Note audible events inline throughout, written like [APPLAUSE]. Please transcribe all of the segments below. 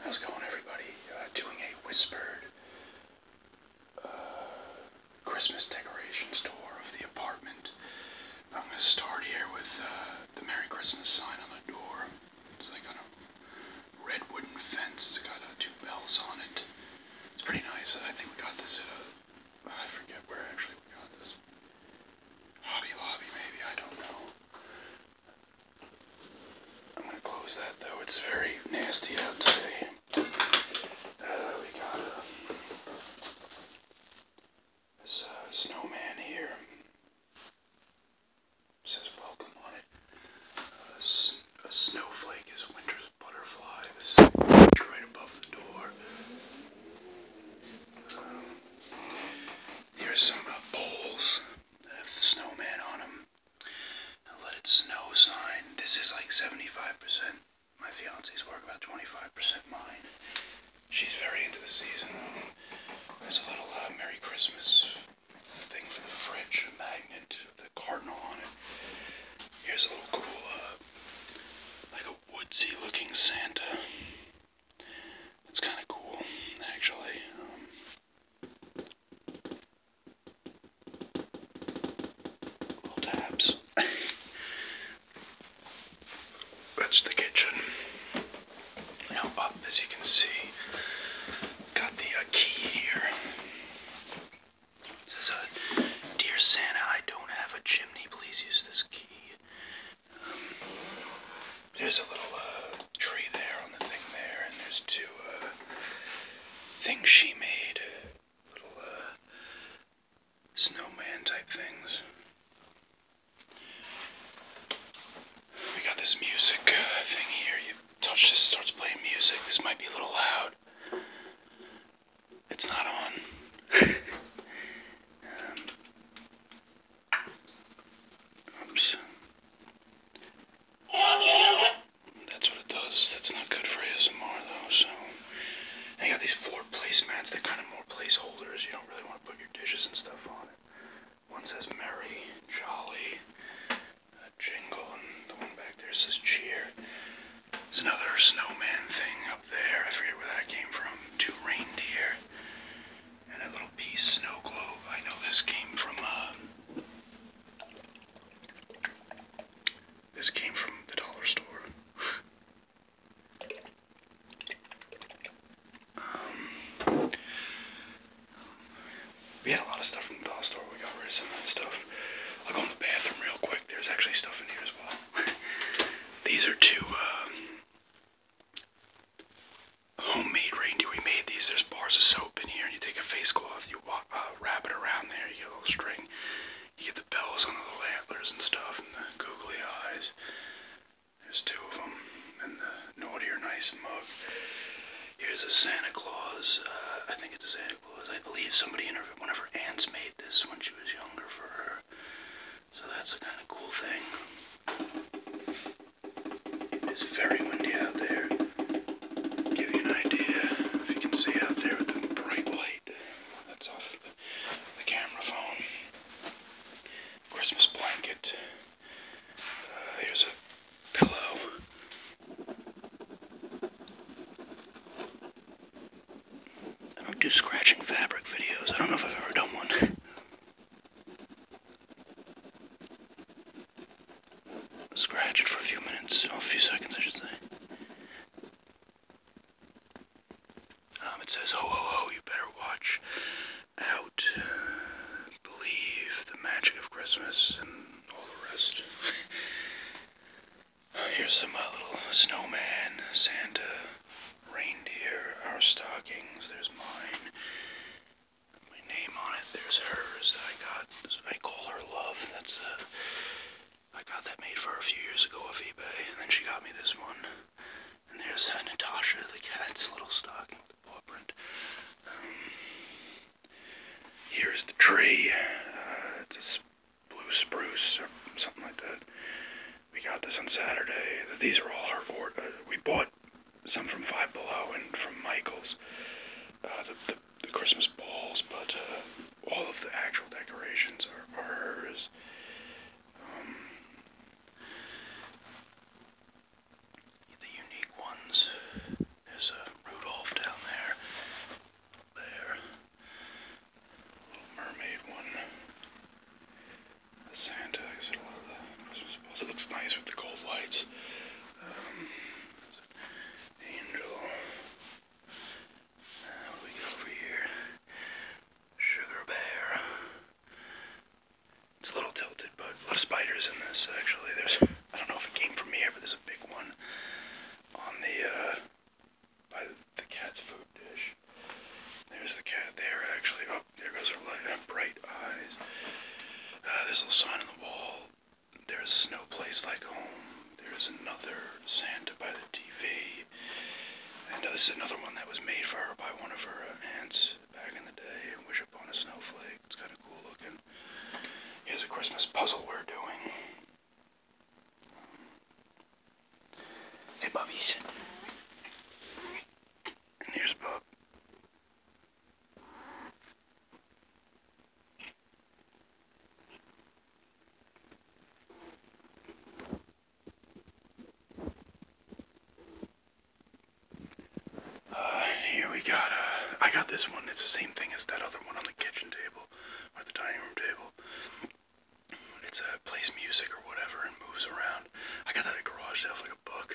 How's it going, everybody? Uh, doing a whispered uh, Christmas decorations tour of the apartment. I'm going to start here with uh, the Merry Christmas sign on the door. It's like on a red wooden fence. It's got two bells on it. It's pretty nice. I think we got this at a, I forget where actually we got this. Hobby Lobby, maybe, I don't know. I'm gonna close that though. It's very nasty out today. Uh, we got uh, uh snowman here. says welcome on it. Uh, a snowflake is winter's butterfly. This is right above the door. Um, Here's some uh, bowls with snowman on them. A let snow sign. This is like 75%. My fiance's work, about 25% mine. She's very into the season. There's a little uh, Merry Christmas thing for the fridge, a magnet, the cardinal on it. Here's a little cool, uh, like a woodsy looking Santa. It's kind of cool, actually. Um, tabs. [LAUGHS] That's the kitchen. Now up, as you can see, got the uh, key here. says, uh, "Dear Santa, I don't have a chimney. Please use this key." There's a little uh, tree there on the thing there, and there's two uh, things she made. Little uh, snowman type things. We got this music thing here. You touch this, starts playing music. This might be a little loud. It's not on. oops. That's what it does. That's not good for ASMR though, so. And you got these floor placemats, they're kind of more placeholders. You don't really want to put your dishes and stuff on it. One says merry, jolly, jingle, and the one back there says cheer. There's another snowman thing up there. I forget where that came from. Two reindeer and a little piece snow globe. I know this came from uh, this came from the dollar store. um, we had a lot of stuff from the dollar store. We got rid of some of that stuff. I'll go in the bathroom real quick. There's actually stuff in here as well. [LAUGHS] these are two um, homemade reindeer. We made these. There's bars of soap in here, and you take a face cloth, you walk, uh, wrap it around there, you get a little string. You get the bells on the little antlers and stuff, and the googly eyes. There's two of them, and the naughty or nice mug. Here's a Santa Claus. Uh, I think it's a Santa I believe somebody in her, one of her aunts made this when she was younger for her. So that's a kind of cool thing. It's very windy out there. Give you an idea if you can see out there with the bright light. That's off the, camera phone. Christmas blanket. Uh, here's a Hello. I don't do scratching fabric videos. I don't know if I've ever done one. Scratch it for a few minutes, or a few seconds, I should say. Um, it says, ho oh, oh, ho oh, ho, you better watch out. Believe the magic of Christmas [LAUGHS] Uh, here's some uh, little snowman, Santa, reindeer, our stockings. There's mine. My name on it. There's hers I got. I call her love. That's uh, got that made for her a few years ago off eBay, and then she got me this one. And there's Natasha, the cat's little stocking, with the paw print. Um, Here's the tree. Uh, it's a blue spruce or something like that. We got this on Saturday. These are all herbivore. Uh, we bought some from Five Below and from Michaels. Uh, the, the, the, Christmas balls, but uh, all of the actual decorations are, are hers. Um, the unique ones. There's a Rudolph down there. There. Little mermaid one. The Santa, I guess a lot of the It looks nice with the gold lights. Um, angel. what do we get over here? Sugar bear. It's a little tilted, but a lot of spiders in this actually. There's, I don't know if it came from here, but there's a big one on the, uh, by the cat's food dish. There's the cat there actually. Oh, there goes her light, bright eyes. Uh, there's a little sign on the wall. There's no place like home. There's another Santa by the TV. And uh, this is another one that was made for her by one of her aunts back in the day. Wish Upon a Snowflake. It's kind of cool looking. Here's a Christmas puzzle we're doing. Hey, Bubbies. And here's Bub. Uh, here we got a. Uh, I got this one. It's the same thing as that other one on the kitchen table or the dining room table. It's a uh, plays music or whatever and moves around. I got that at a garage sale like a book.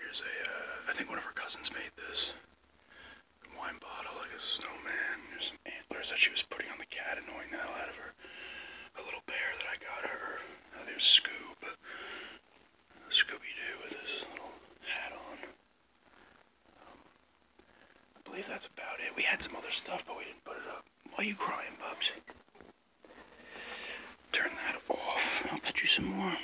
Here's a. Uh, I think one of her cousins made this wine bottle like a snowman. There's some antlers that she was putting on the cat, annoying the hell out of her a little bear that I got her. I think it was Scoob. Uh, Scooby-Doo with his little hat on. Um, I believe that's about it. We had some other stuff, but we didn't put it up. Why are you crying, Bubsy? Turn that off. I'll put you some more.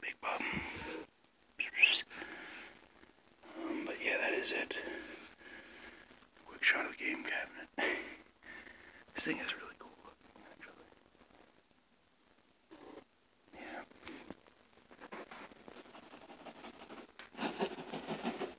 Big bum. but yeah, that is it. Quick shot of the game cabinet. this thing is really cool Yeah.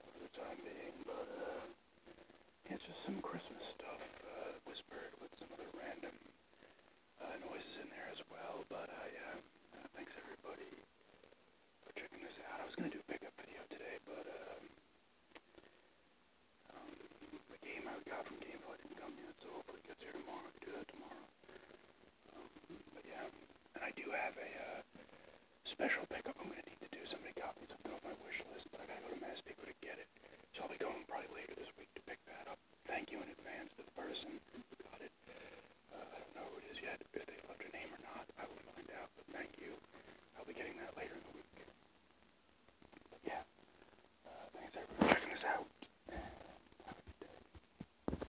for the time being, but uh, it's just some Christmas stuff uh, whispered with some other random uh, noises in there as well. But I uh, uh, thanks everybody for checking this out. I was gonna do a pickup video today, but um, um, the game I got from Gamefly didn't come yet, so hopefully it gets here tomorrow. I can do that tomorrow. Um, but yeah, and I do have a. Uh, special pickup I'm going to need to do. So many copies I've been on my wish list, but i got to go to Mass Pico to get it. So I'll be going probably later this week to pick that up. Thank you in advance to the person who got it. Uh, I don't know who it is yet, if they left a name or not. I will find out, but thank you. I'll be getting that later in the week. yeah, uh, thanks everyone for checking us out.